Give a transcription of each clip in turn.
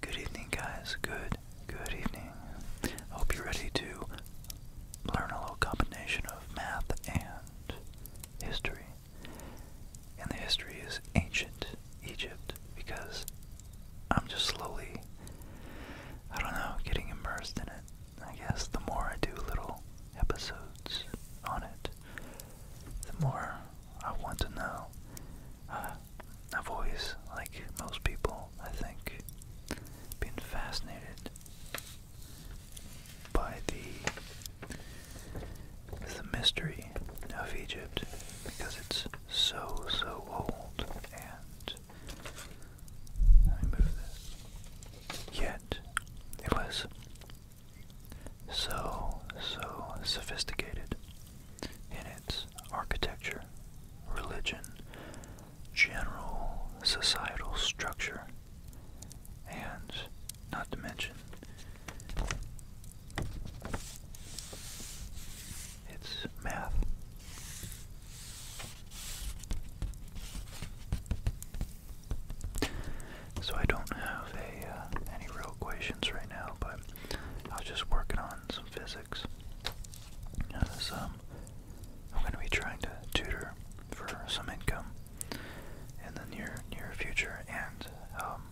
Good evening, guys. Good, good evening. Hope you're ready to learn a little combination of math and history. And the history is ancient Egypt because I'm just slowly, I don't know, getting immersed in it. I guess the more I do little episodes on it, the more I want to know. Uh, I've always, like most people, I think, been fascinated by the the mystery of Egypt because it's so so old and Yet it was so, so sophisticated in its architecture, religion, general societal structure, and not to mention its math. So I don't have uh, any real equations right now, but I was just working on some physics. Um, I'm going to be trying to tutor for some income in the near near future, and um,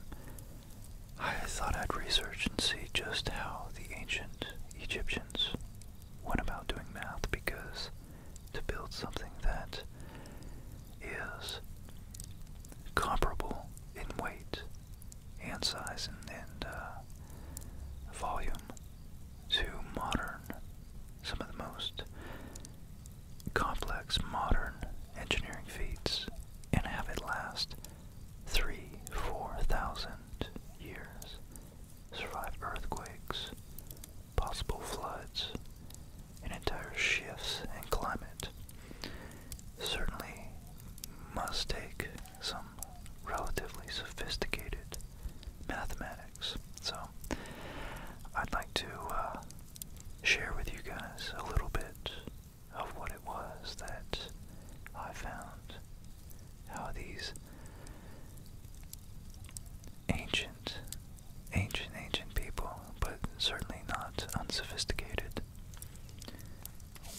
I thought I'd research and see just how the ancient Egyptians went about doing math, because to build something that is comparable in weight and size and, uh, volume to modern, some of the most complex modern engineering feats, and have it last three, four thousand years, survive earthquakes, possible floods, and entire shifts in climate certainly must take some relatively sophisticated mathematics. So, I'd like to uh, share with you guys a little bit of what it was that I found, how these ancient ancient, ancient people, but certainly not unsophisticated,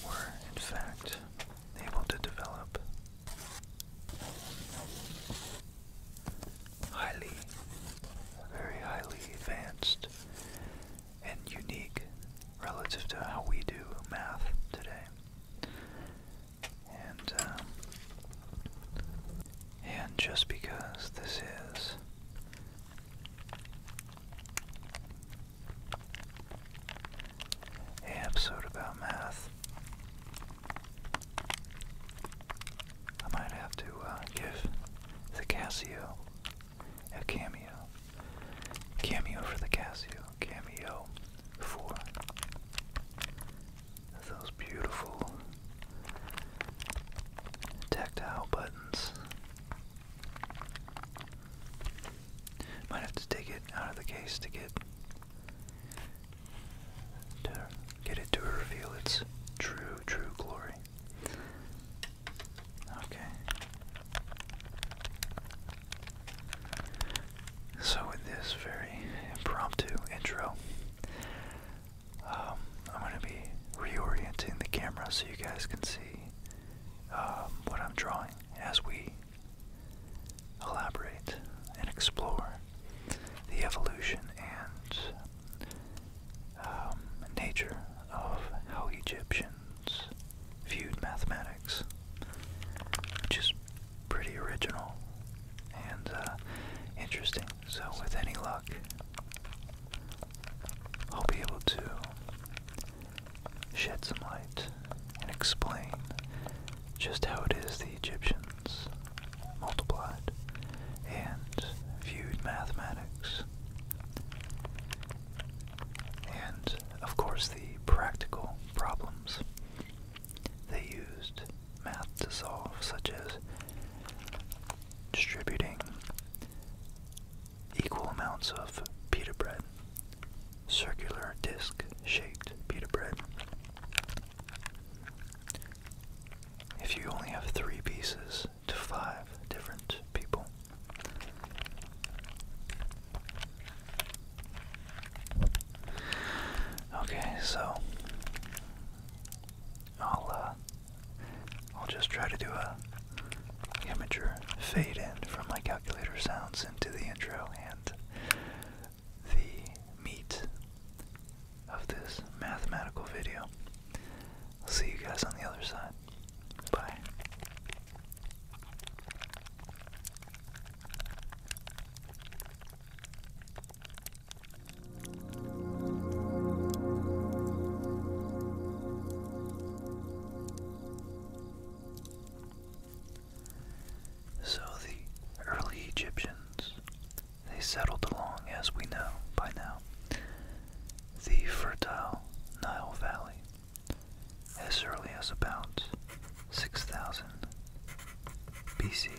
were in fact able to develop highly, very highly advanced and unique relative to how we do math today. And, um, and just because this is Hey, episode about math. I might have to uh, give the Casio a cameo. Cameo for the Casio. Cameo for those beautiful Tactile buttons. Might have to take it out of the case to get to get it to reveal its true, true glory. Okay. So with this very impromptu intro, um, I'm going to be reorienting the camera so you guys can see um, what I'm drawing as we elaborate and explore the evolution and um, nature of how Egyptians viewed mathematics, which is pretty original and uh, interesting. So, with any luck, I'll be able to shed some light and explain just how it is the Egyptians multiplied and viewed mathematics. And of course, the practical problems they used math to solve, such as distributing equal amounts of pita bread, circular disc shaped pita bread. If you only have three pieces to five different people, okay, so I'll uh, I'll just try to do a immature fade in from my calculator sounds into the intro and the meat of this mathematical video. I'll see you guys on the other side. Bye. So the early Egyptians, they settled along, as we know by now, the fertile Nile Valley as early as about 6000 BC.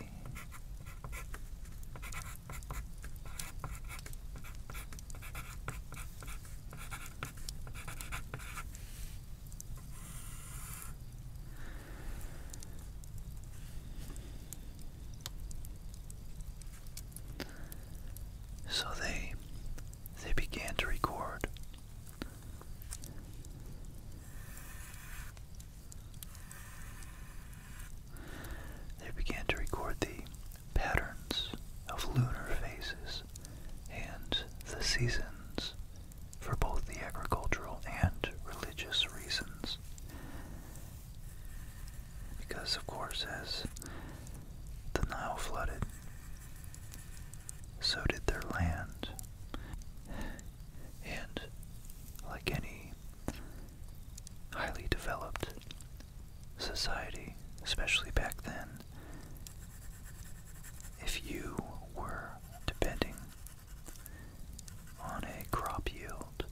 So they they began to record. They began to record the patterns of lunar phases and the seasons for both the agricultural and religious reasons. Because, of course, as the Nile flooded, so did their land. And like any highly developed society, especially back then, if you were depending on a crop yield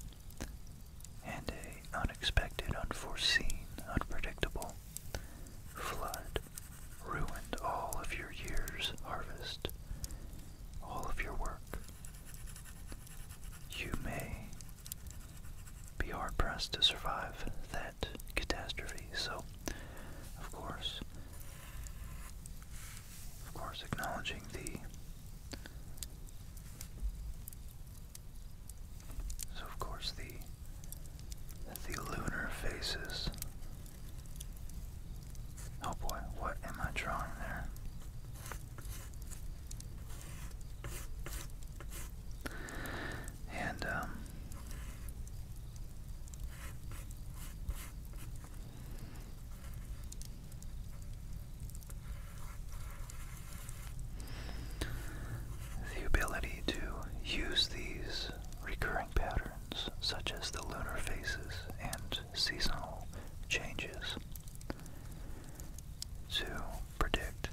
and a unexpected, unforeseen, unpredictable flood ruined all of your year's harvest, all of your work, you may be hard pressed to survive that catastrophe. So, of course, of course, acknowledging the so of course the the lunar faces. Oh boy, what am I drawing there? And, um, the ability to use these recurring patterns, such as the lunar phases and seasonal changes, to predict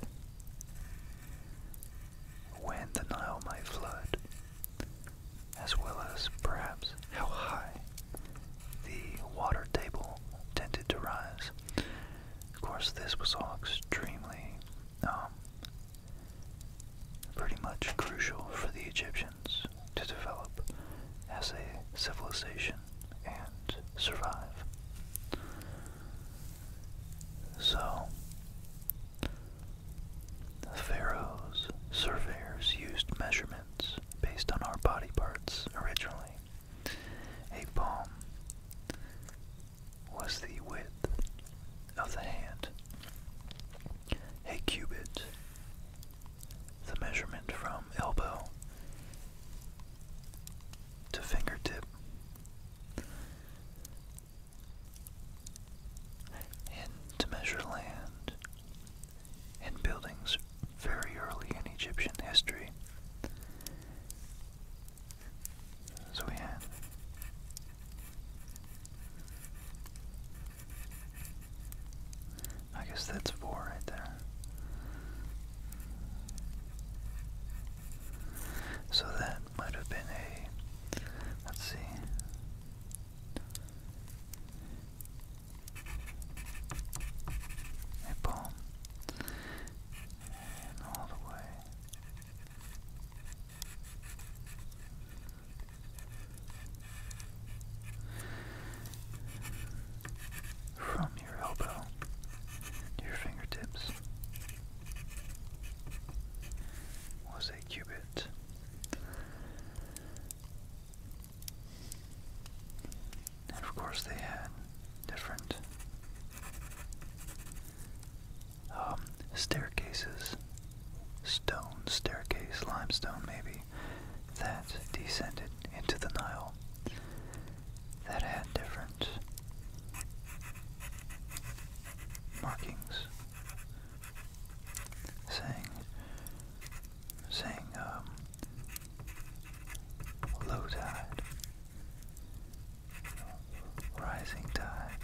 when the Nile might flood, as well as perhaps how high the water table tended to rise. Of course, this was all extremely, um, pretty much crucial for the Egyptians to develop as a civilization and survive. So, Pharaoh's surveyors used measurements based on our body parts originally. A palm was the width of the hand. A cubit, the measurement from elbow to fingertip. And to measure land and buildings very early in Egyptian history. So we had I guess that's four right there. So that might have been a, let's see. A palm. And all the way from your elbow to your fingertips was a cubit. And of course they had different um, staircases, stone staircase, limestone maybe, that descended into the Nile that had different markings saying saying um, low tide, rising tide,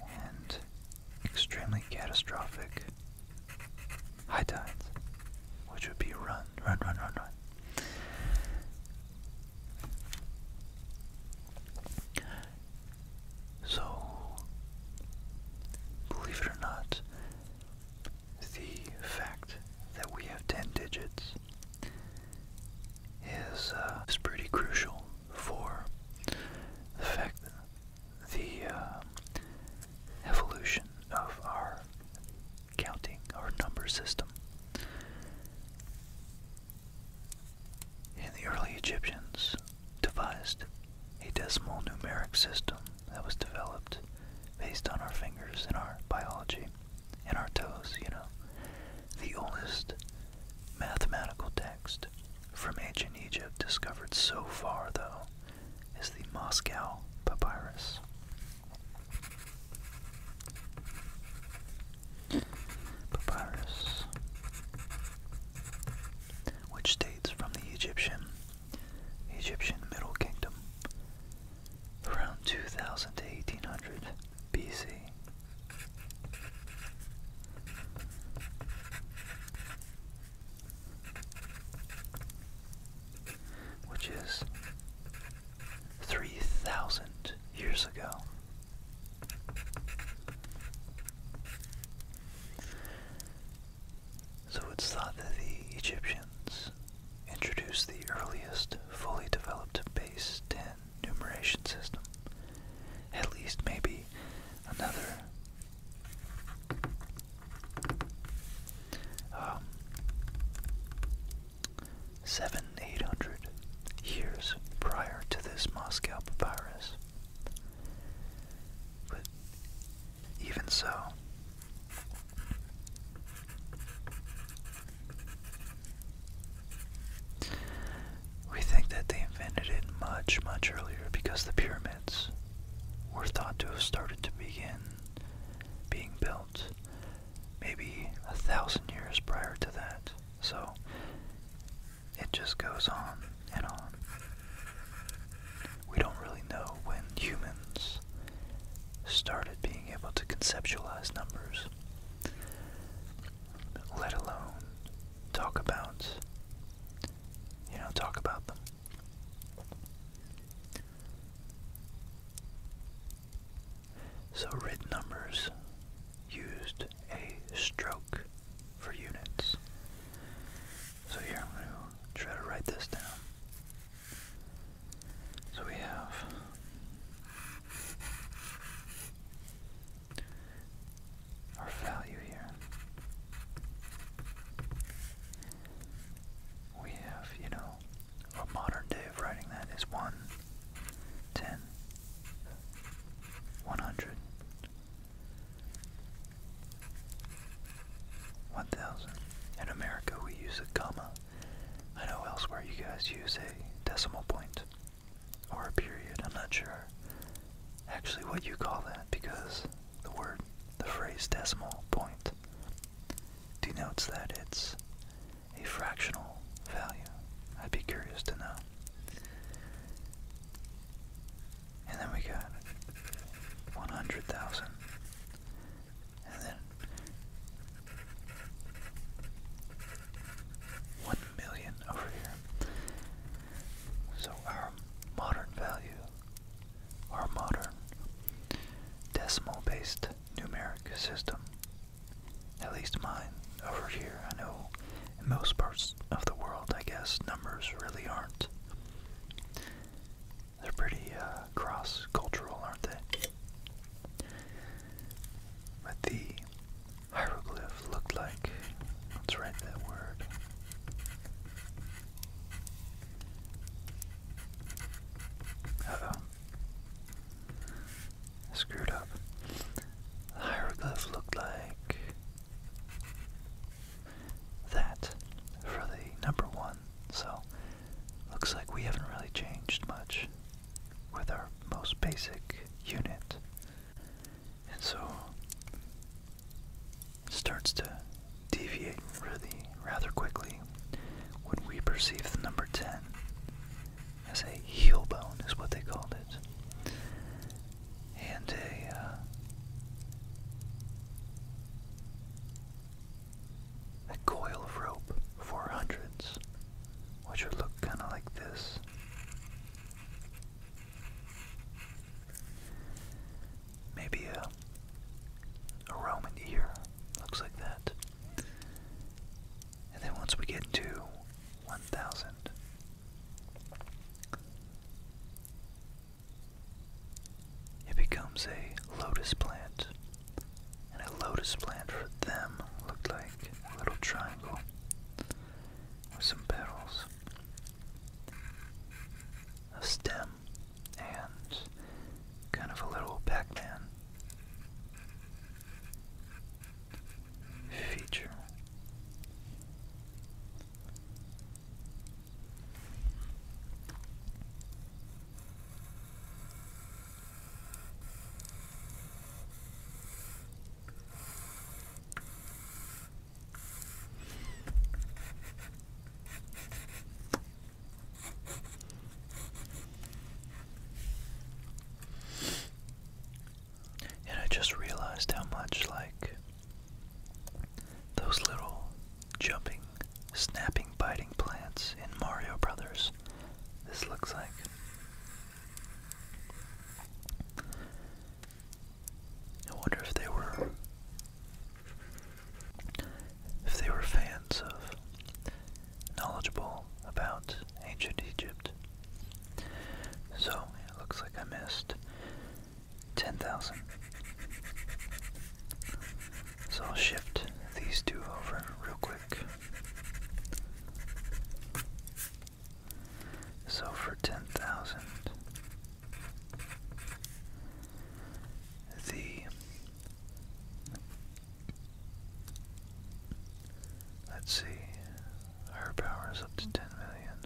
and extremely catastrophic high tides, which would be run, run, run, run, run. So, believe it or not, the fact that we have 10 digits is, uh, is pretty crucial for the fact the uh, evolution of our counting our number system. And the early Egyptians devised a decimal numeric system that was developed based on our fingers and our biology and our toes, you know. The oldest mathematical text from ancient Egypt discovered so far, though, is the Moscow Papyrus. Papyrus, which dates from the Egyptian Egyptian Middle Kingdom around 2000 to 1800 BC. Which is 3,000 years ago. So it's thought that the Egyptians introduced the earliest fully developed base 10 numeration system, at least maybe another um, seven, eight hundred years prior to this Moscow papyrus. But even so, we think that they invented it much, much earlier because the pyramids were thought to have started to begin being built maybe a thousand years prior to that. So it just goes on and on. We don't really know when humans started being able to conceptualize numbers, let alone talk about you know talk about them. So written numbers used a stroke for units. So here I'm going to try to write this down. So we have our value here. We have, you know, a modern day of writing that is 1, In America, we use a comma. I know elsewhere you guys use a decimal point or a period. I'm not sure actually what you call that because the word, the phrase decimal point denotes that it's a fractional value. I'd be curious to know. And then we got 100,000. And then 1 million over here. So our modern value, our modern decimal based numeric system. At least mine over here. I know in most parts of the world, I guess, numbers really aren't. They're pretty uh, cross cultural, aren't they? But the hieroglyph looked like. Let's write that word screwed up. The hieroglyph looked like that for the number one, so looks like we haven't really changed much with our most basic unit. And so starts to deviate really rather quickly would we perceive the number 10 as a heel bone, is what they called it, and a uh, coil of rope for hundreds, which would look kind of like this. Maybe a a Roman ear looks like that. And then once we get to 1,000, it becomes a lotus plant. And a lotus plant for them looked like a little triangle with some petals, a stem, and kind of a little Pac-Man feature. And I just realized how much, like, those little jumping, snapping, biting plants in Mario Brothers, this looks like. I wonder if they were if they were fans of knowledgeable about ancient Egypt. So it looks like I missed 10,000. So I'll shift these two over real quick. So for 10,000, the let's see our power is up to 10 million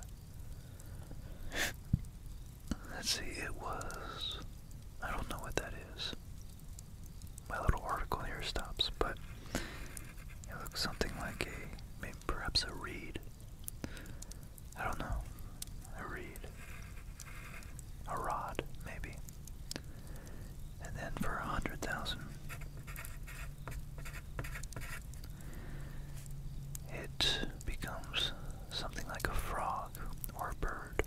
let's see it was I don't know what that is my little article here stops but it looks something like a maybe perhaps a reed I don't know a reed a rod, maybe. And then for a hundred thousand, it becomes something like a frog or a bird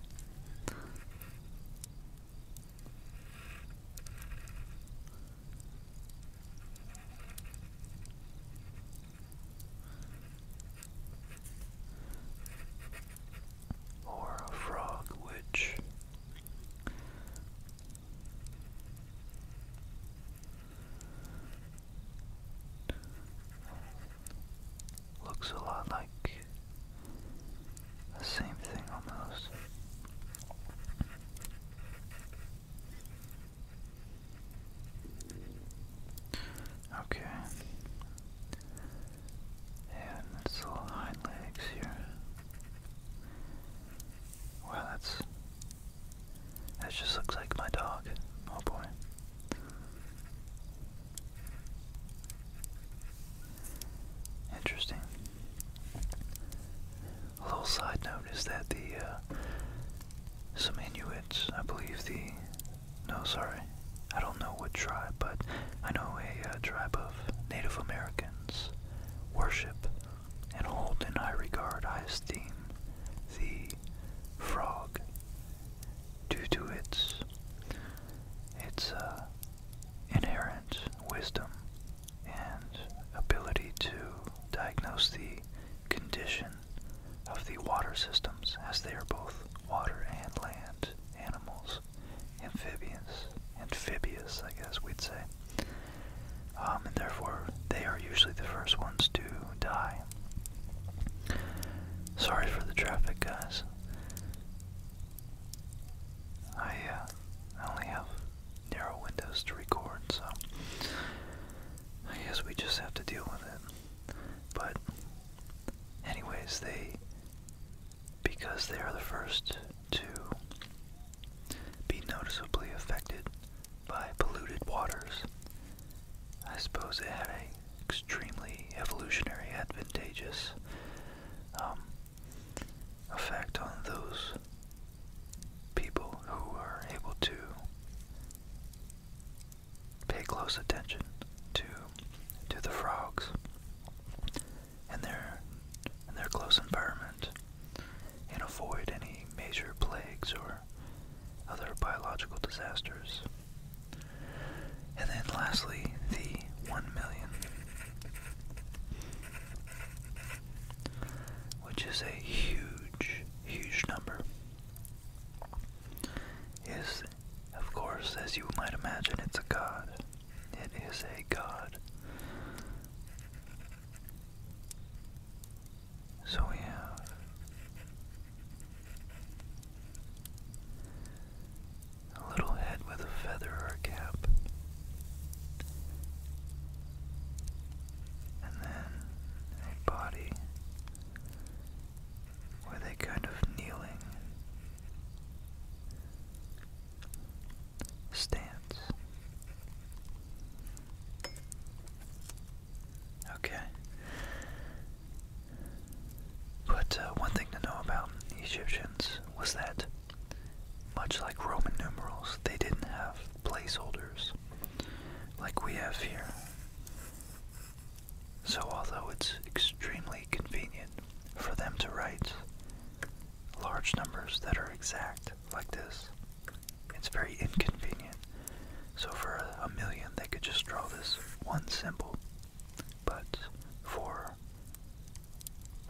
or a frog witch. Looks a lot like the same thing almost. Okay. And its little hind legs here. Wow, that's... That just looks like my dog. Oh boy. Interesting. A little side note is that the, uh, some Inuits, I believe the no, sorry. I don't know what tribe, but I know a, uh, tribe of Native Americans worship and hold in high regard, high esteem, the frog due to its its uh, inherent wisdom and ability to diagnose the condition of the water systems as they are both water and land animals. Amphibious, amphibious, I guess we'd say, um, and therefore they are usually the first ones to die. Sorry for the traffic, guys. I, uh, I only have narrow windows to record, so I guess we just have to deal with it. But, anyways, they because they are the first to be noticeably affected by polluted waters. I suppose it had an extremely evolutionary advantageous um, effect on those people who are able to pay close attention to to the frogs and their in their close environment and avoid any major plagues or other biological disasters. And then lastly, the 1 million, which is a huge, huge number, is, of course, as you might imagine, it's a god. It is a god. So we have a little head with a feather or a cap. And then a body with a kind of kneeling stance. Okay. But uh, one thing to know about Egyptians was that, much like Roman numerals, they didn't have placeholders like we have here. So, although it's extremely convenient for them to write large numbers that are exact like this, it's very inconvenient. So, for a, million, they could just draw this one symbol. But for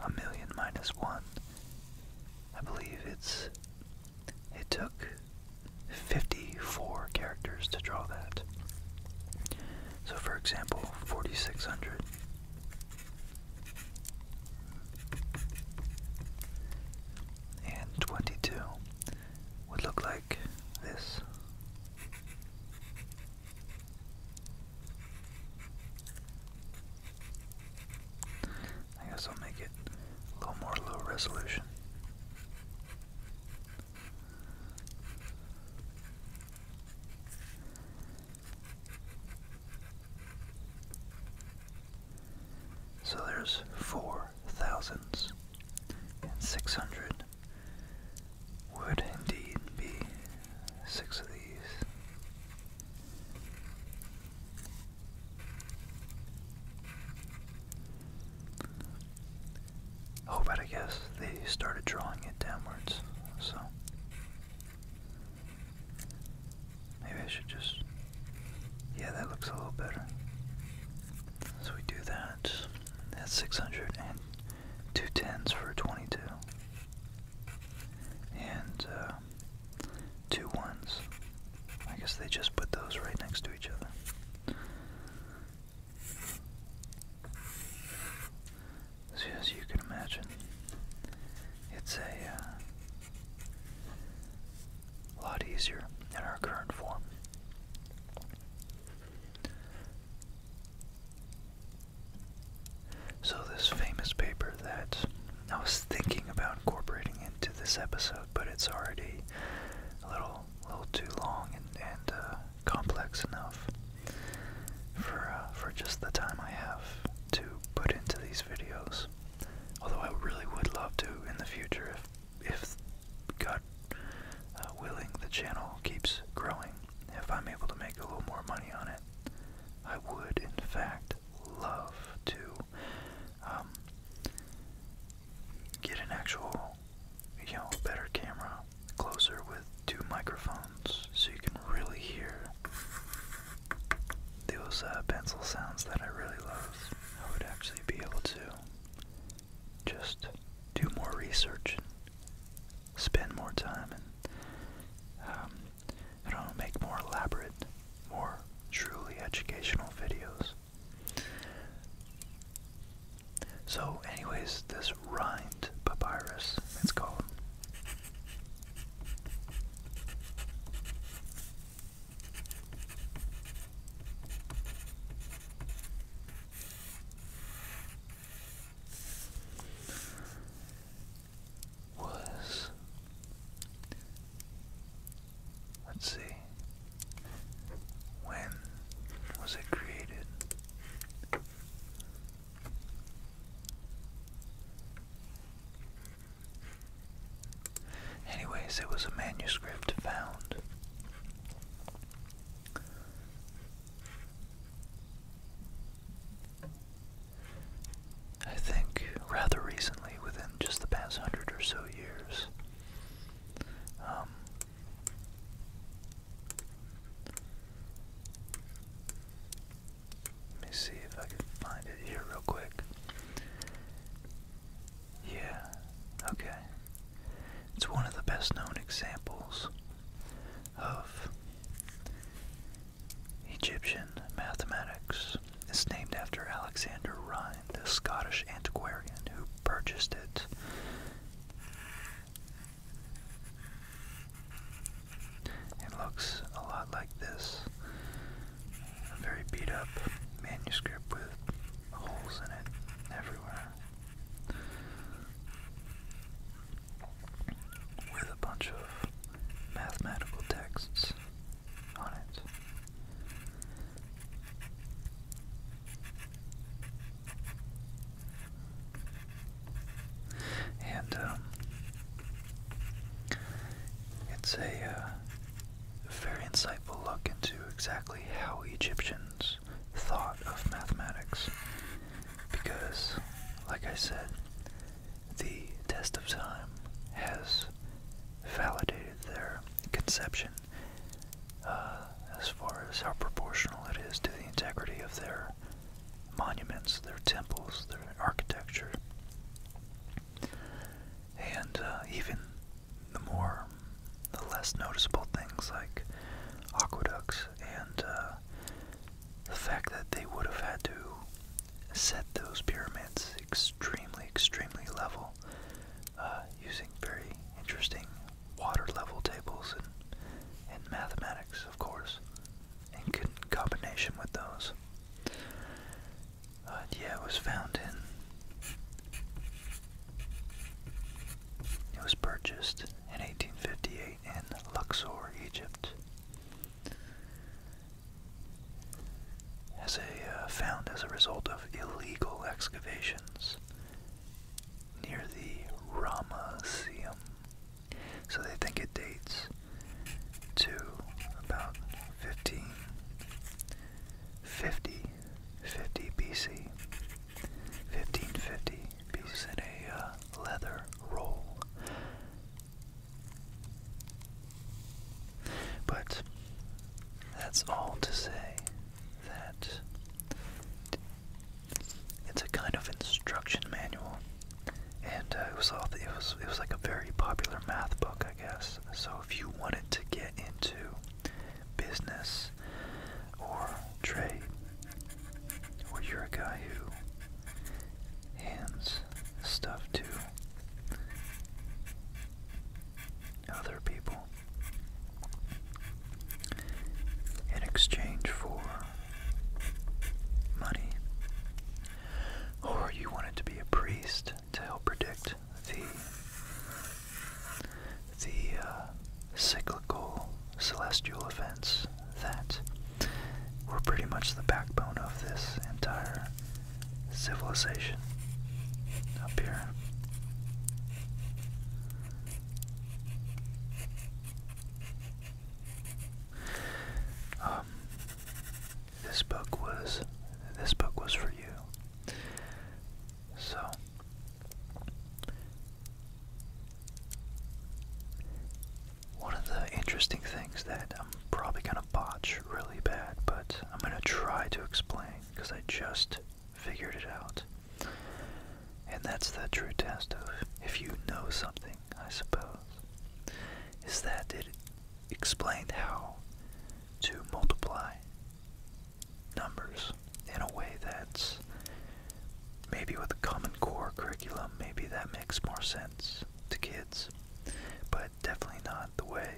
a million minus one, I believe it's. It took 54 characters to draw that. So for example, 4600 and 22 would look like this. I guess I'll make it a little more low resolution. So there's four thousands, and six hundred would indeed be six of these. Oh, but I guess they started drawing it downwards, so maybe I should just. Yeah, that looks a little better. So we do that. That's 600 and for 22. And uh, two ones. I guess they just put those right next to each other. So as you can imagine, it's a uh, lot easier in our current form. So this famous paper that I was thinking about incorporating into this episode, but it's already a little, a little too long and, uh, complex enough for uh, for just the time I have to put into these videos. Although I really would love to in the future, if if God uh, willing, the channel keeps growing. If I'm able to make a little more money on it, I would in fact love to um, get an actual, you know, better camera closer with two microphones so you can really hear those uh, pencil sounds that I really love. I would actually be able to just do more research and spend more time and um, I don't make more elaborate, more truly educational videos. So, anyways, this rind papyrus, it's called. Was let's see, when was it created? Anyways, it was a manuscript found. I think rather recently, within just the past hundred or so years. Um, let me see if I can find it here real quick. Yeah, okay. It's one of the best known examples of Egyptian mathematics. It's named after Alexander Rhind, the Scottish antiquarian who purchased it it looks a lot like this. A very beat up manuscript with holes in it everywhere. With a bunch of mathematical texts on it. And um, it's a uh, very insightful look into exactly how Egyptians thought of mathematics. Because, like I said, the test of time has validated their conception uh, as far as how proportional it is to the integrity of their monuments, their temples, their architecture. And uh, even the more, the less noticeable things like aqueducts and uh, the fact that they would have had to set those pyramids extremely, extremely level uh, using very interesting water level tables and, and mathematics of course, in combination with those. yeah, it was found in. It was purchased in 1858 in Luxor, Egypt. As a uh, found as a result of illegal excavations near the Ramesseum so they think it dates to about 1550, 50 BC. 1550 BC. in a uh, leather roll. But that's all to say that it's a kind of instruction manual, and uh, it was it was it was like a very popular math book, I guess. So if you wanted to get into business or trade, or you're a guy who hands stuff to other people, in exchange for money. Or you wanted to be a priest to help predict the the uh, cyclical celestial events that were pretty much the backbone of this entire civilization up here. Um, this book was this book was for you. So one of the interesting things that I'm probably gonna botch really bad, but I'm gonna try to explain because I just figured it out. And that's the true test of if you know something, I suppose, is that it explained how to multiply numbers in a way that's maybe with the common core curriculum, maybe that makes more sense to kids, but definitely not the way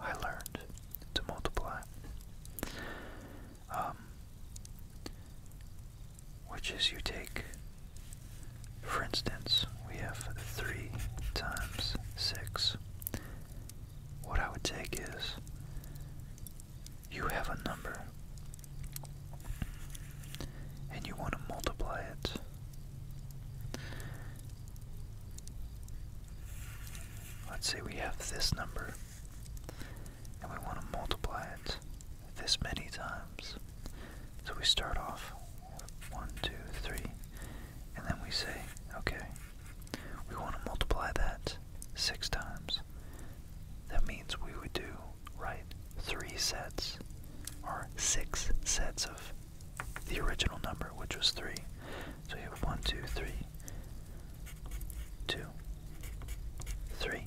I learned to multiply. Um, which is you take, for instance, we have 3 times 6. What I would take is you have a number and you want to multiply it. Let's say we have this number and we want to multiply it this many times. So we start off one, two, three, and then we say, okay, we want to multiply that 6 times. That means we would do, right, 3 sets, or 6 sets of the original number, which was 3. So we have one, two, three, two, three.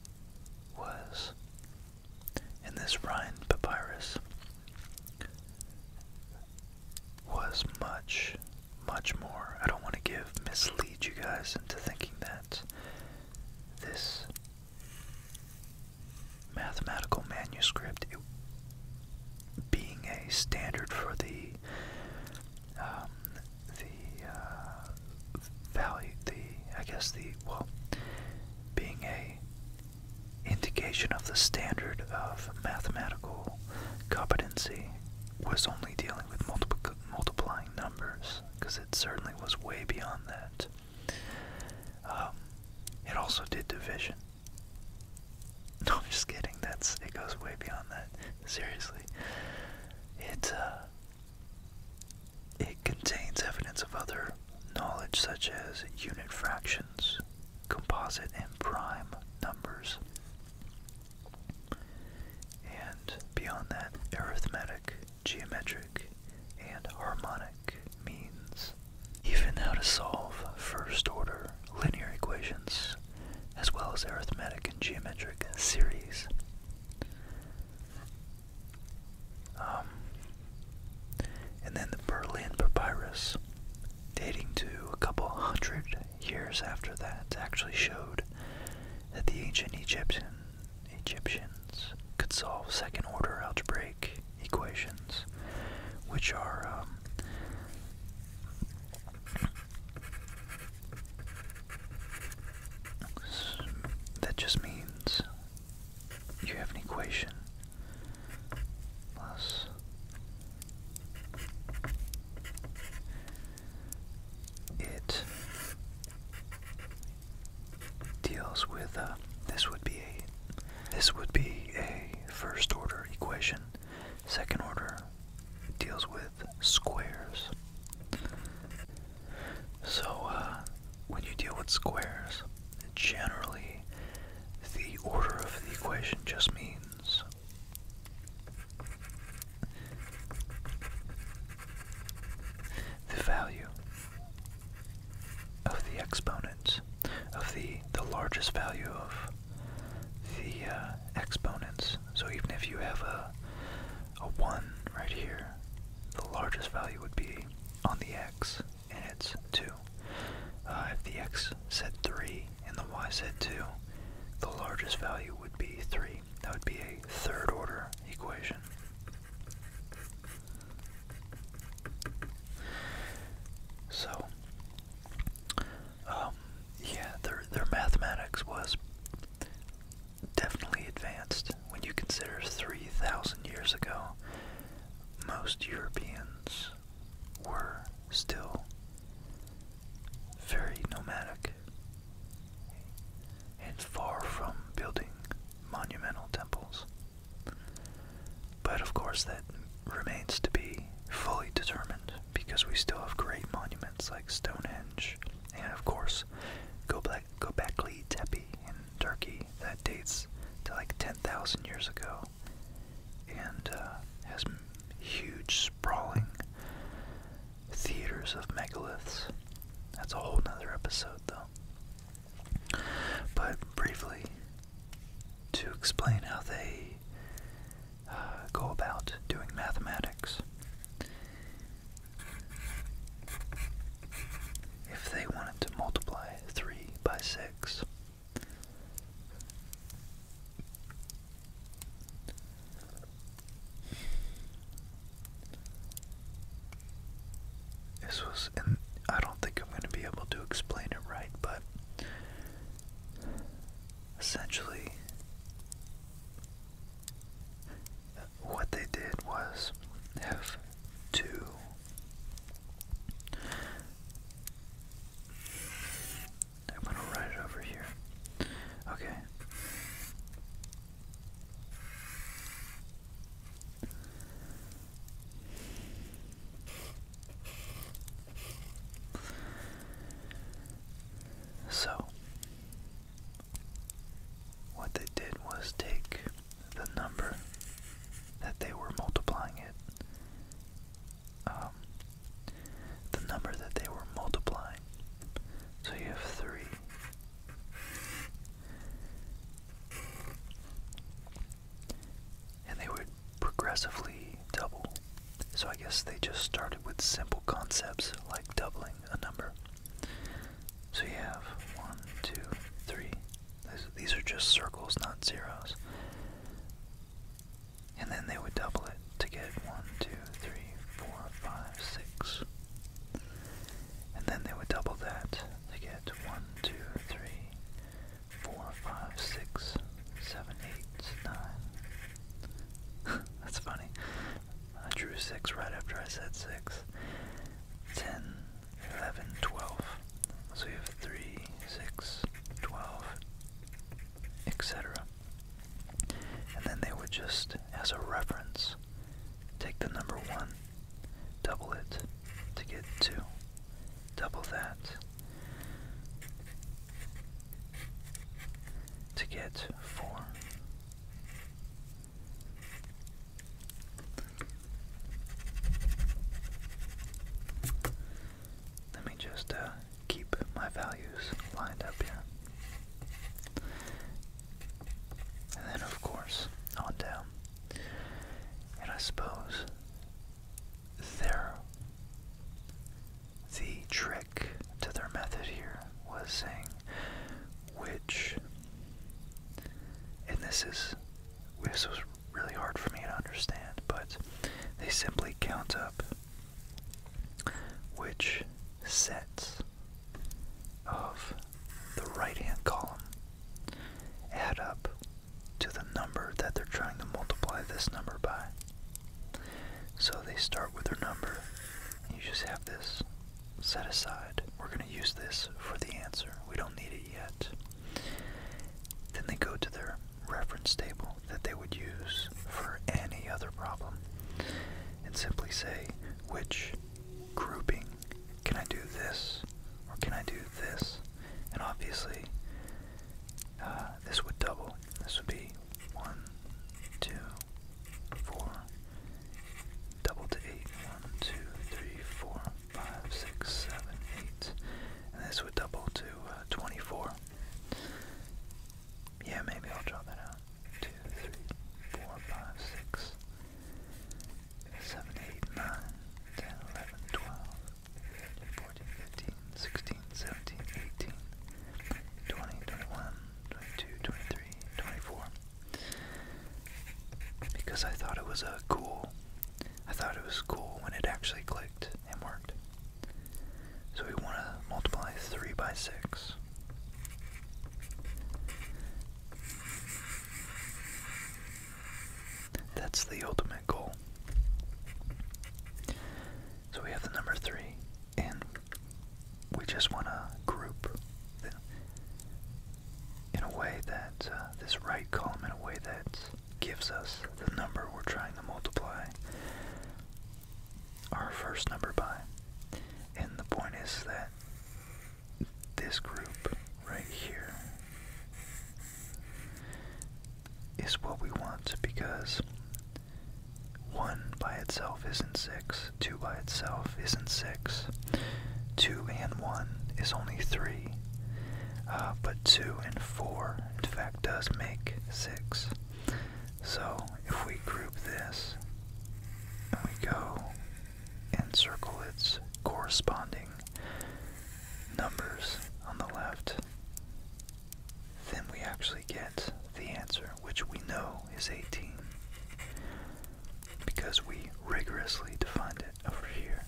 was in this Rhine papyrus was much, much more. I don't want to give mislead you guys into thinking that this mathematical manuscript, it, being a standard for the um, the uh, value, the I guess the well, being a indication of the standard of mathematical competency was only dealing with multiplic multiplying numbers because it certainly was way beyond that. Um, it also did division. No, I'm just kidding. That's it goes way beyond that. Seriously, it uh, it contains evidence of other knowledge such as unit fractions, composite and prime numbers, and beyond that, arithmetic, geometric, and harmonic means. Even how to solve first order linear equations, as well as arithmetic and geometric series. Um, and then the Berlin Papyrus, dating to a couple hundred years after that, actually showed that the ancient Egyptian, Egyptians could solve second order algebraic equations, which are. Um, that just means you have an equation plus it deals with uh, this would be a this would be a first order equation. Second order deals with squares. So, uh, when you deal with squares, generally the order of the equation just means the value of the exponents of the the largest value of the uh, exponents. So even if you have a a 1 right here. The largest value would be on the x, and it's 2. Uh, if the x said 3 and the y said 2, the largest value would be 3. That would be a third order equation. So, um, yeah, their, their mathematics was definitely advanced when you consider 3,000 years ago, most Europeans were still very nomadic and far from building monumental temples. But of course, that remains to be fully determined because we still have great monuments like Stonehenge and, of course, temples, Gobekli Tepe in Turkey that dates to like 10,000 years ago and uh, has huge sprawling theaters of megaliths. That's a whole nother episode though. But briefly, to explain how they uh, go about doing mathematics. If they wanted to multiply 3 by 6, this was, and I don't think I'm going to be able to explain it right, but essentially, what they did was have two I'm gonna write it over here. Okay. So, what they did was take the number that they were multiplying it, um, the number that they were multiplying. So you have 3. And they would progressively double. So I guess they just started with simple concepts like doubling a number. So you have one, two, three. These, these are just circles, not zeros. And then they would double it to get one, two, three, four, five, six. And then they would double that to get one, two, three, four, five, six, seven, eight, nine. That's funny. I drew 6 right after I said 6. 10, 11, 12. So we have 3, 6, 12, etc. And then they would just, as a reference, take the number 1, double it to get 2, double that to get 4. Let me just uh, keep my values lined up here. And then, of course, on down. And I suppose their, the trick to their method here was saying which, and this is, this was really hard for me to understand, but they simply count up which sets of the right hand column add up to the number that they're trying to multiply this number by. So they start with their number, you just have this set aside. We're going to use this for the answer. We don't need it yet. Then they go to their reference table that they would use for any other problem and simply say, which grouping can I do this or can I do this? And obviously, uh, this would double. This would be one, two, four, double to eight. One, two, three, four, five, six, seven, eight. And this would double to uh, 24. Yeah, maybe I'll draw that out. Two, three, four, five, six, seven, eight, nine, ten, eleven, twelve, fourteen, fifteen, sixteen, seventeen, eighteen, twenty, twenty-one, twenty-two, twenty-three, twenty-four because I thought it was a uh, cool. I thought it was cool when it actually clicked and worked. So we want to multiply 3 by 6. That's the ultimate goal. So we have the number 3 and we just want to group in a way that uh, this right column in a way that gives us the number we're trying to multiply our first number by. And the point is that this group right here is what we want because 1 by itself isn't 6, 2 by itself isn't 6, 2 and 1 is only 3, uh, but 2 and 4 in fact does make 6. So if we group this and we go and circle its corresponding numbers on the left, then we actually get the answer, which we know is 18 because we rigorously defined it over here.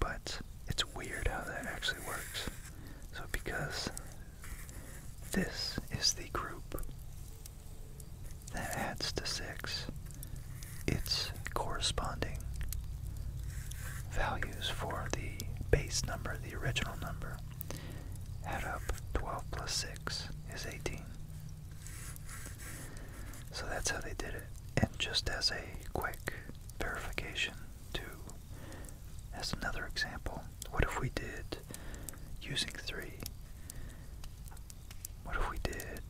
but it's weird how that actually works. So because this is the group that adds to 6, its corresponding values for the base number, the original number, Add up 12 plus 6 is 18. So that's how they did it. And just as a quick verification, to as another example, what if we did using 3? What if we did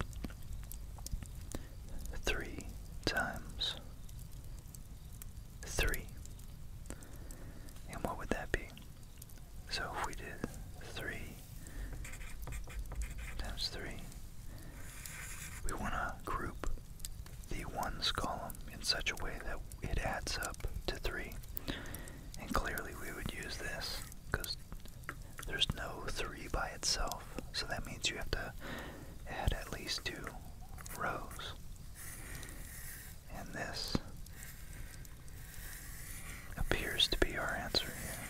3 times 3? And what would that be? So if we did 3 times 3, we want to group the ones column in such a way that it adds up to 3. And clearly we would use this because there's no 3 by itself. So that means you have to add at least two rows. And this appears to be our answer here.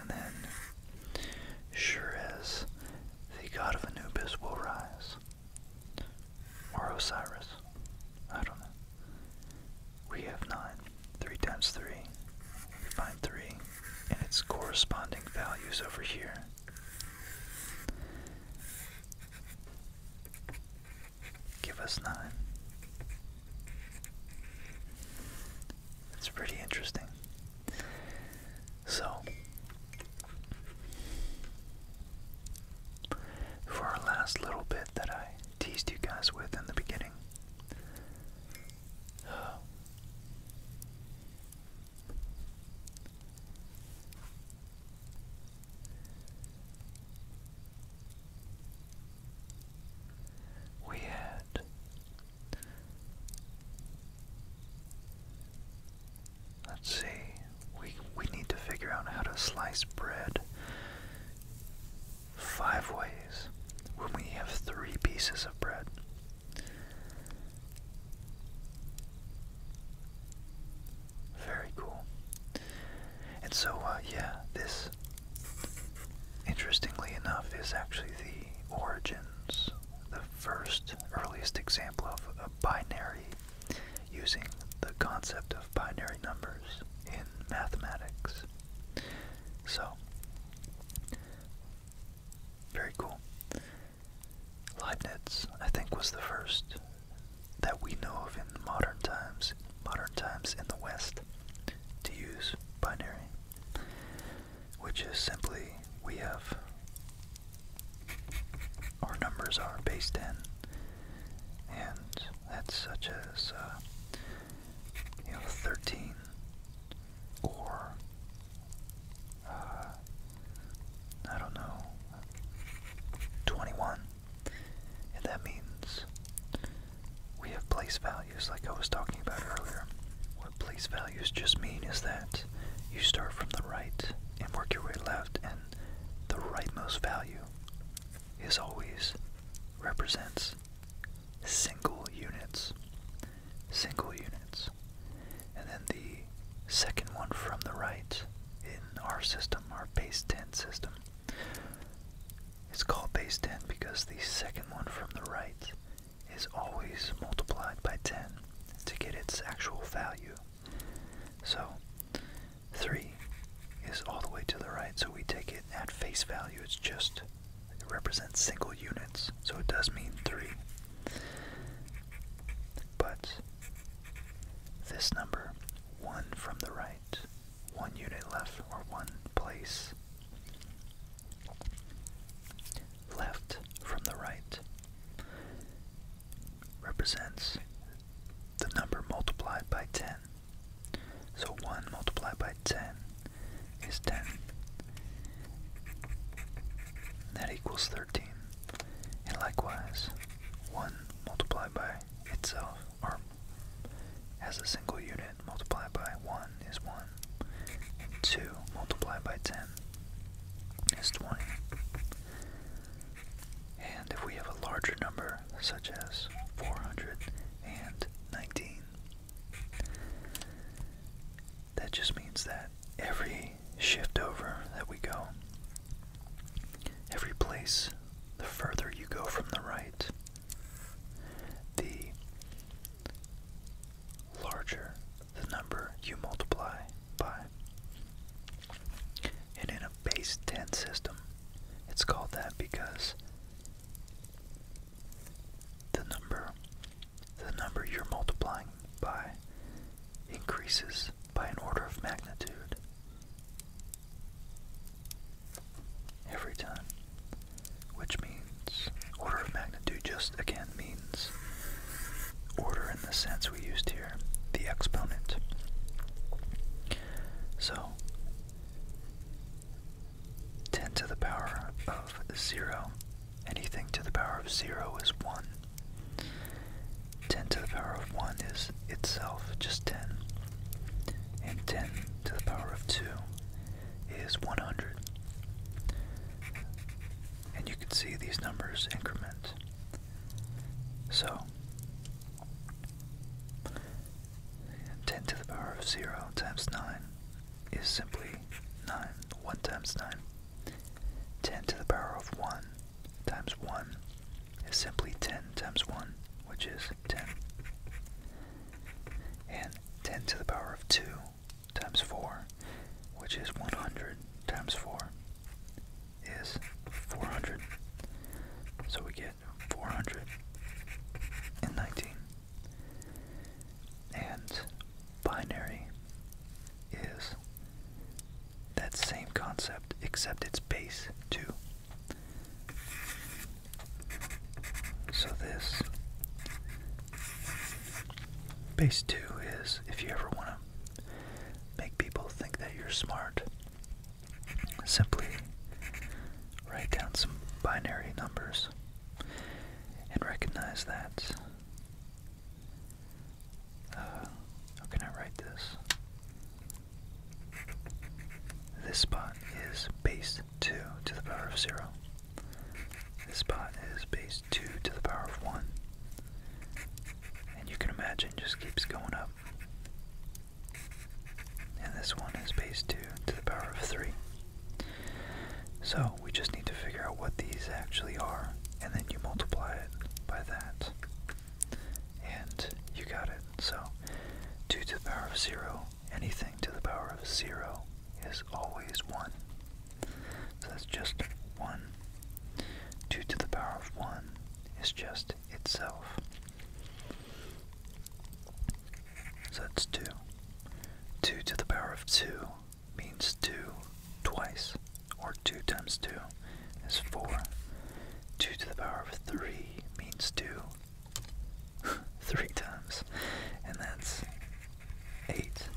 And then, sure as the god of Anubis will rise, or Osiris, I don't know. We have 9. 3 times 3. We find 3 and its corresponding values over here give us 9. That's pretty interesting. So, for our last little bit that I teased you guys with in the beginning, we had Let's see. We we need to figure out how to slice bread five ways when we have three pieces of bread. Very cool. And so, uh, yeah, this, interestingly enough, is actually the origins, the first, earliest example of a binary using the concept of binary numbers in mathematics. So, very cool. Leibniz, I think, was the first that we know of in modern times, modern times in the West, to use binary, which is simply we have our numbers are based in, and that's such as uh, you know thirteen or uh, I don't know twenty one. And that means we have place values, like I was talking about earlier. What place values just mean is that you start from the right and work your way left, and the rightmost value is always represents single units. Single units. And then the second one from the right in our system, our base 10 system. It's called base 10 because the second one from the right is always multiplied by 10 to get its actual value. So 3 is all the way to the right, so we take it at face value. It's just, it represents single units, so it does mean 3. But this number one from the right, one unit left, or one place. Left from the right represents the number multiplied by 10. So 1 multiplied by 10 is 10. That equals 13. And likewise, 1 multiplied by itself or as a single unit multiplied by 1 is 1 2 multiplied by 10 is 20 and if we have a larger number such as 419 that just means that every shift over that we go Every place, the further you go from the right, the larger the number you multiply by. And in a base 10 system, it's called that because the number the number you're multiplying by increases by an order of magnitude every time. Which means order of magnitude just again means order in the sense we used here, the exponent. So 10 to the power of 0, anything to the power of 0 is 1. 10 to the power of 1 is itself just 10. And 10 to the power of 2 is 100. And you can see these numbers increment. So, 10 to the power of 0 times 9 is simply 9. 1 times 9. 10 to the power of 1 times 1 is simply 10 times 1, which is 10. And 10 to the power of 2 times 4, which is 100 times 4, is 400. So we get four hundred nineteen, And binary is that same concept, except it's base 2. So this base 2 is if you ever want to make people think that you're smart, simply write down some binary numbers and recognize that. Uh, how can I write this? This spot is base 2 to the power of 0. This spot is base 2 to the power of 1. And you can imagine just keeps going up. And this one is base 2 to the power of 3. So we just need to figure out what these actually are, and then you multiply it by that and you got it. So 2 to the power of 0, anything to the power of 0 is always 1. So that's just 1. 2 to the power of 1 is just itself. So that's 2. 2 to the power of 2 means 2 twice, or 2 times 2 is 4. 2 to the power of 3 means 2 3 times, and that's 8.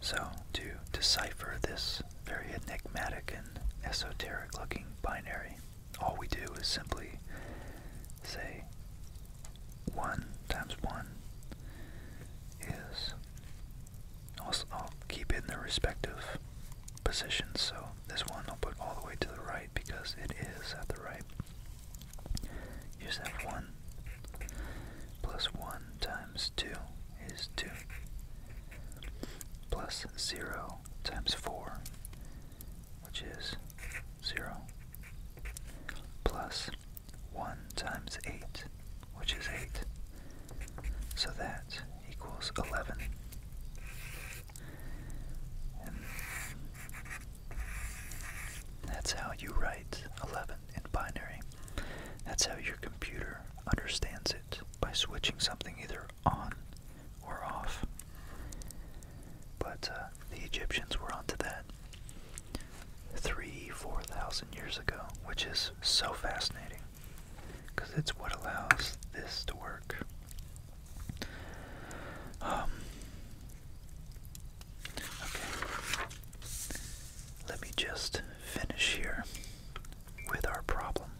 So, to decipher this very enigmatic and esoteric looking binary, all we do is simply say 1 times 1 is I'll, keep it in their respective positions. So this one I'll put all the way to the right because it is at the right. You just have 1 plus 1 times 2 is 2 plus 0 times 4, which is 0 plus 1 times 8, which is 8. So that equals 11. And that's how you write 11 in binary. That's how your computer understands it by switching something either on or off. But uh, the Egyptians were onto that three, four thousand years ago, which is so fascinating because it's what allows this to work. Um, okay, let me just finish here with our problem.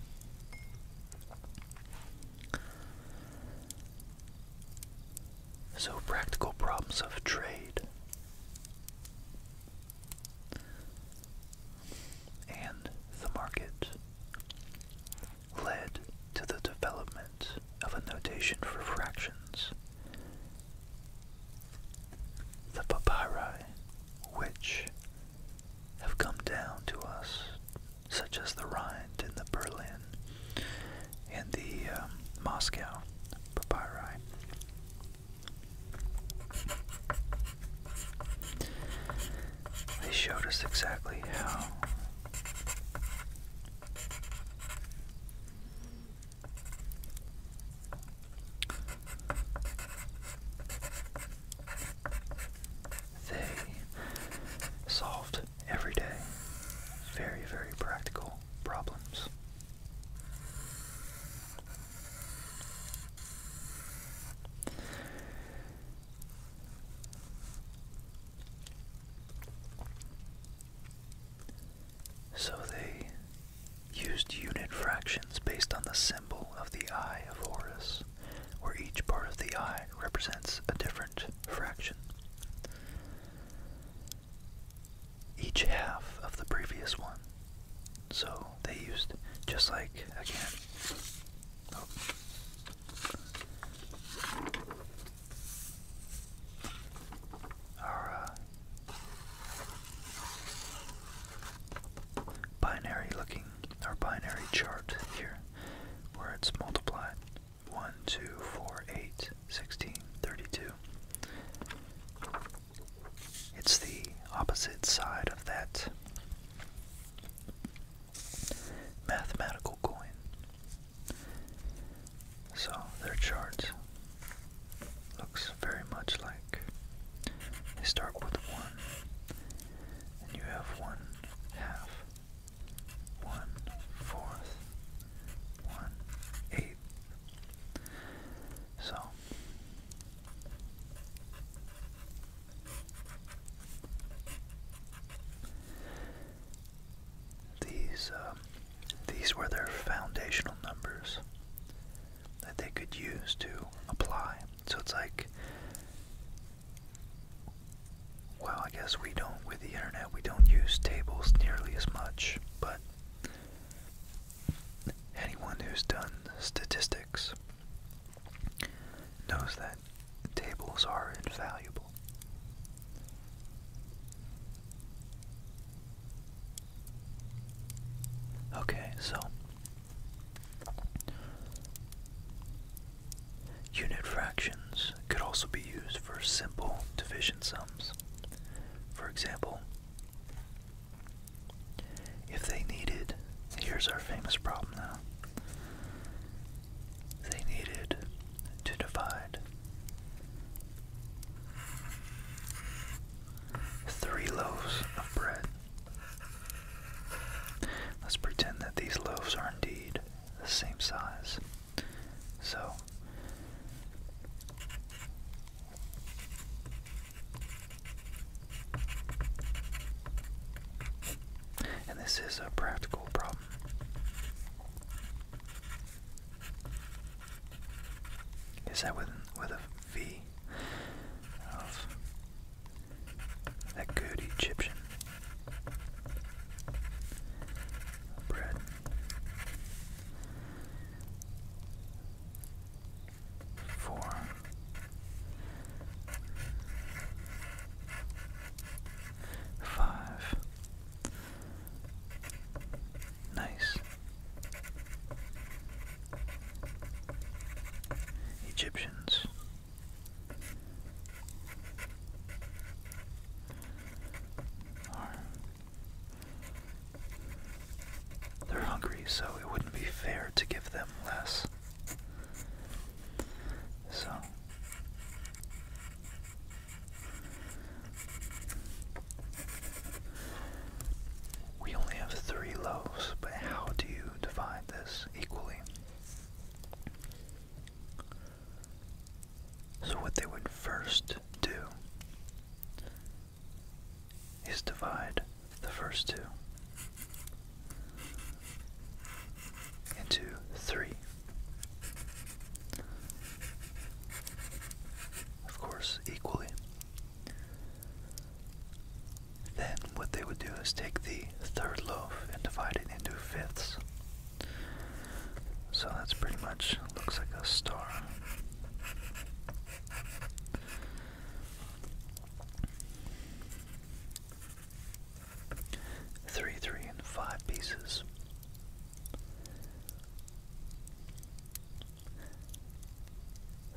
So, practical problems of trade and the market led to the development of a notation for fractions. The papyri, which have come down to us, such as the Rhind and the Berlin and the um, Moscow papyri, they showed us exactly how they solved every day very, very practical problems. So they used unit fractions based on the symbol of the eye of Horus, where each part of the eye represents a different fraction. Each half of the previous one so they used just like again. Oh. Our uh, binary looking, our binary chart here, where it's multiplied 1, 2, 4, 8, 16, 32. It's the opposite side of that mathematical coin. So their charts looks very much like they start with one, and you have one half, one fourth, one eighth. So these uh, these were their foundational numbers that they could use to apply. So it's like, well, I guess we don't with the internet we don't use tables nearly as much, but anyone who's done statistics knows that tables are invaluable. Okay, so unit fractions could also be used for simple division sums. For example, if they needed, here's our famous problem now. They needed to divide three loaves of bread. Let's pretend that these loaves are indeed the same size. So and this is a practical problem. Is that with with a V that good Egyptian bread? four, five. Nice. Egyptians. Are they're hungry, so it wouldn't be fair to give them less. So we only have three loaves, but how do you divide this equally? So, what they would first do is divide the first two into three. Of course, equally. Then, what they would do is take the third loaf and divide it into fifths. So that's pretty much looks like a star. Three, three, and five pieces.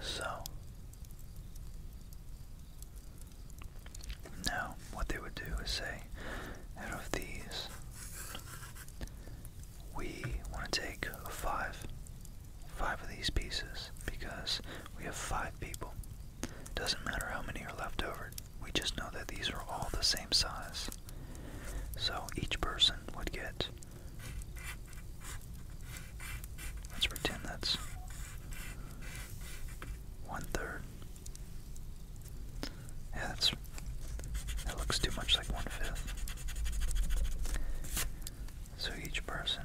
So, now what they would do is say, out of these, we want to take five five of these pieces because we have five people. Doesn't matter how many are left over, we just know that these are all the same size. So each person would get. Let's pretend that's one third. Yeah, that's. That looks too much like one fifth. So each person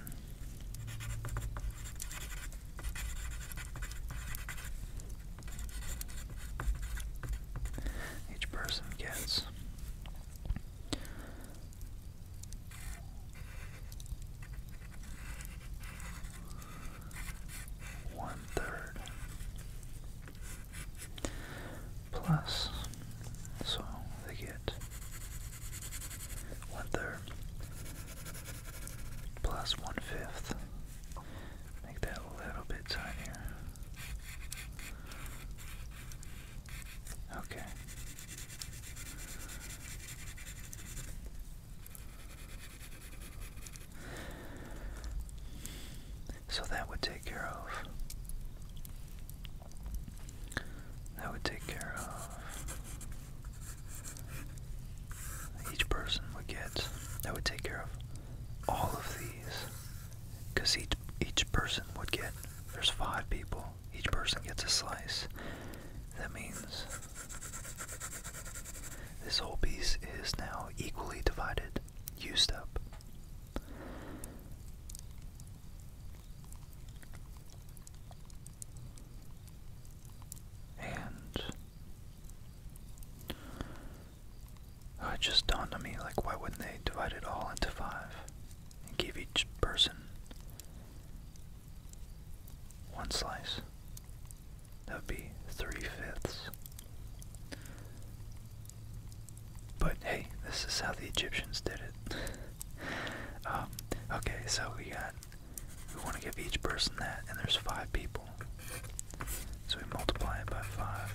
each person gets one third plus, so they get one third plus one fifth. Make that a little bit tinier. Okay. So that would take care of. That would take care of each person would get, that would take care of all of these. Because each, each person would get, there's five people, each person gets a slice. That means this whole piece is now equally divided, used up. And it just dawned on me like, why wouldn't they divide it all into five and give each person one slice? That would be three fifths. But hey, this is how the Egyptians did it. Um, okay, so we got we want to give each person that, and there's five people. So we multiply it by five.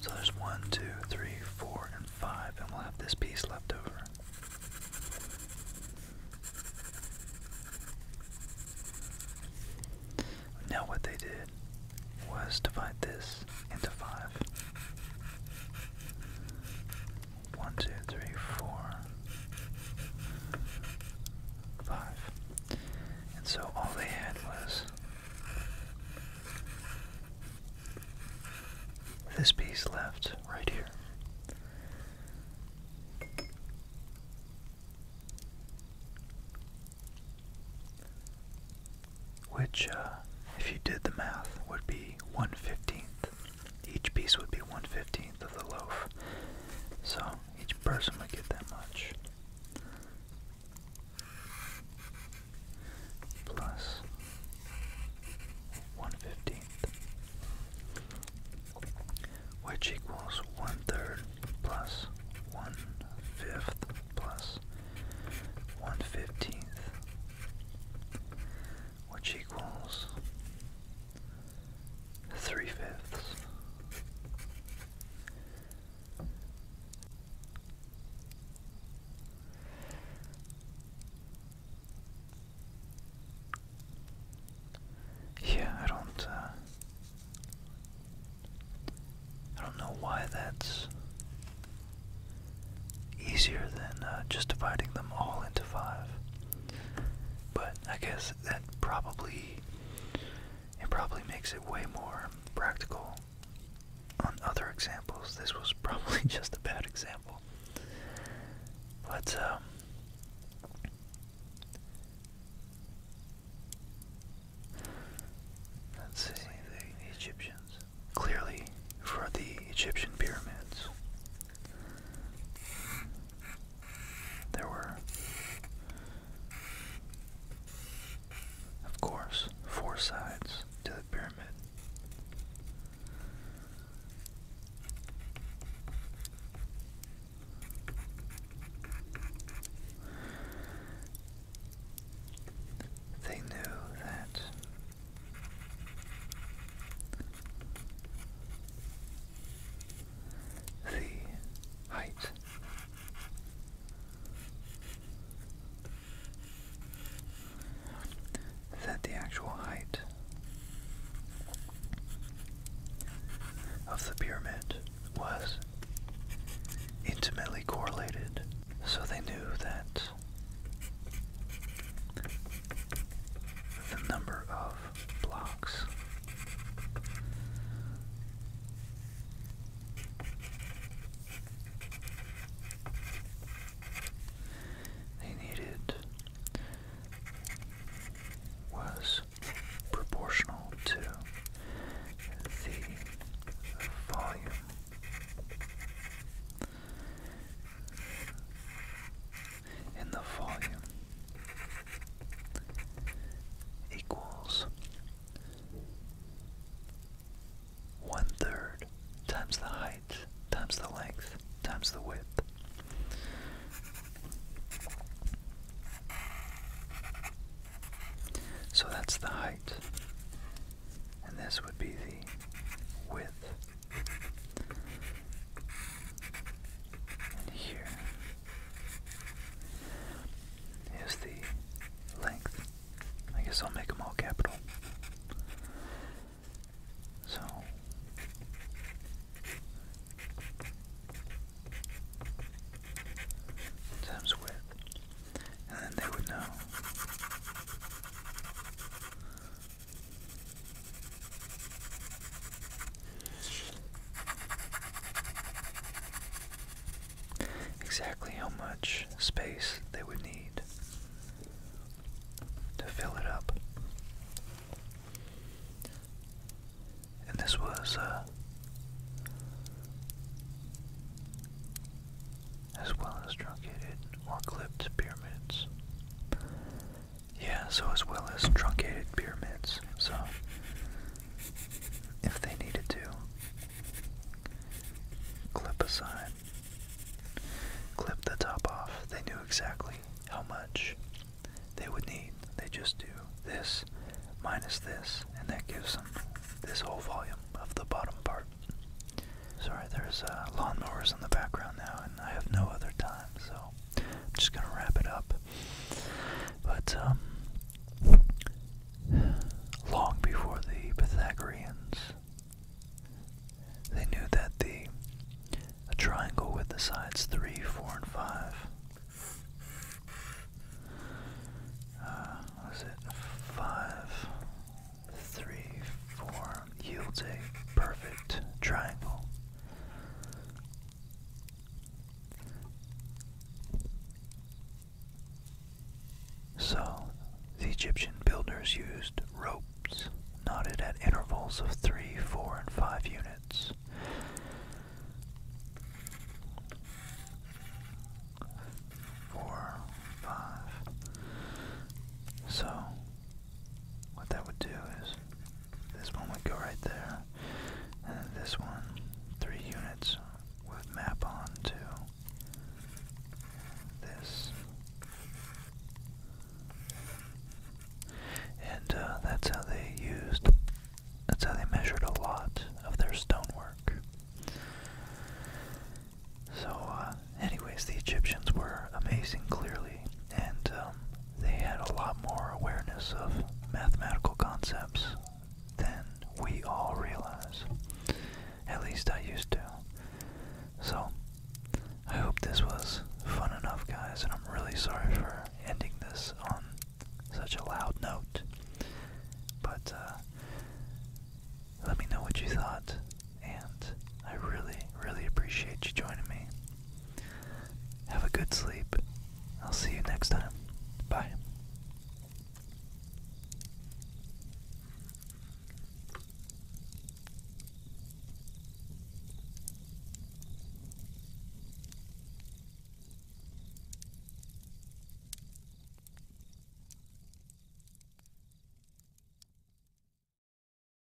So there's one, two, three, four, and five, and we'll have this piece left over. Now what they did was divide this into five. One, two, three, four, five. And so all they had was this piece left right here. Which, uh, if you did the math, would be one fifteenth each piece would be 1 15th of the loaf. So each person would get that much. Plus 1 15th. Which equals one third plus one fifth plus one fifteenth which equals three fifths. Yeah, I don't, uh, I don't know why that's easier than uh, just dividing them all into five. But I guess that probably it probably makes it way more practical on other examples. This was probably just a bad example. But um, Let's see the Egyptians. Clearly for the Egyptian pyramids, there were, of course, four sides to the pyramid. They knew that the height that the actual height of the pyramid was intimately correlated, so they knew that the number of blocks. They needed was proportional to the volume and the volume equals one third times the height times the length times the width. So that's the height, and this would be the width. And here is the length. I guess I'll make them all capital. So times width. And then they would know Exactly how much space they would need to fill it up. And this was, uh, as well as truncated or clipped pyramids. Yeah, so as well as truncated pyramids, so if they needed to clip a sign, clip the top off, they knew exactly how much they would need. They just do this minus this, and that gives them this whole volume of the bottom part. Sorry, there's uh, lawnmowers in the background now, and I have no other time, so I'm just gonna wrap it up. But um, long before the Pythagoreans, they knew that the triangle with the sides three, four, and five. Uh, was it five, three, four yields a perfect triangle. So, the Egyptian builders used ropes knotted at intervals of 3, 4, and 5 units. Four, five. So, what that would do is this one would go right there, and this one, three units, would map on to this. And uh, that's how they used, that's how they measured a lot of their stonework. So, uh, anyways, the Egyptians were amazing, clearly, and uh, um, they had a lot more awareness of mathematical concepts than we all realize. At least I used to. So, I hope this was fun enough, guys, and I'm really sorry for ending this on such a loud note. But, uh, let me know what you thought and I really, really appreciate you joining me. Have a good sleep. I'll see you next time. Bye.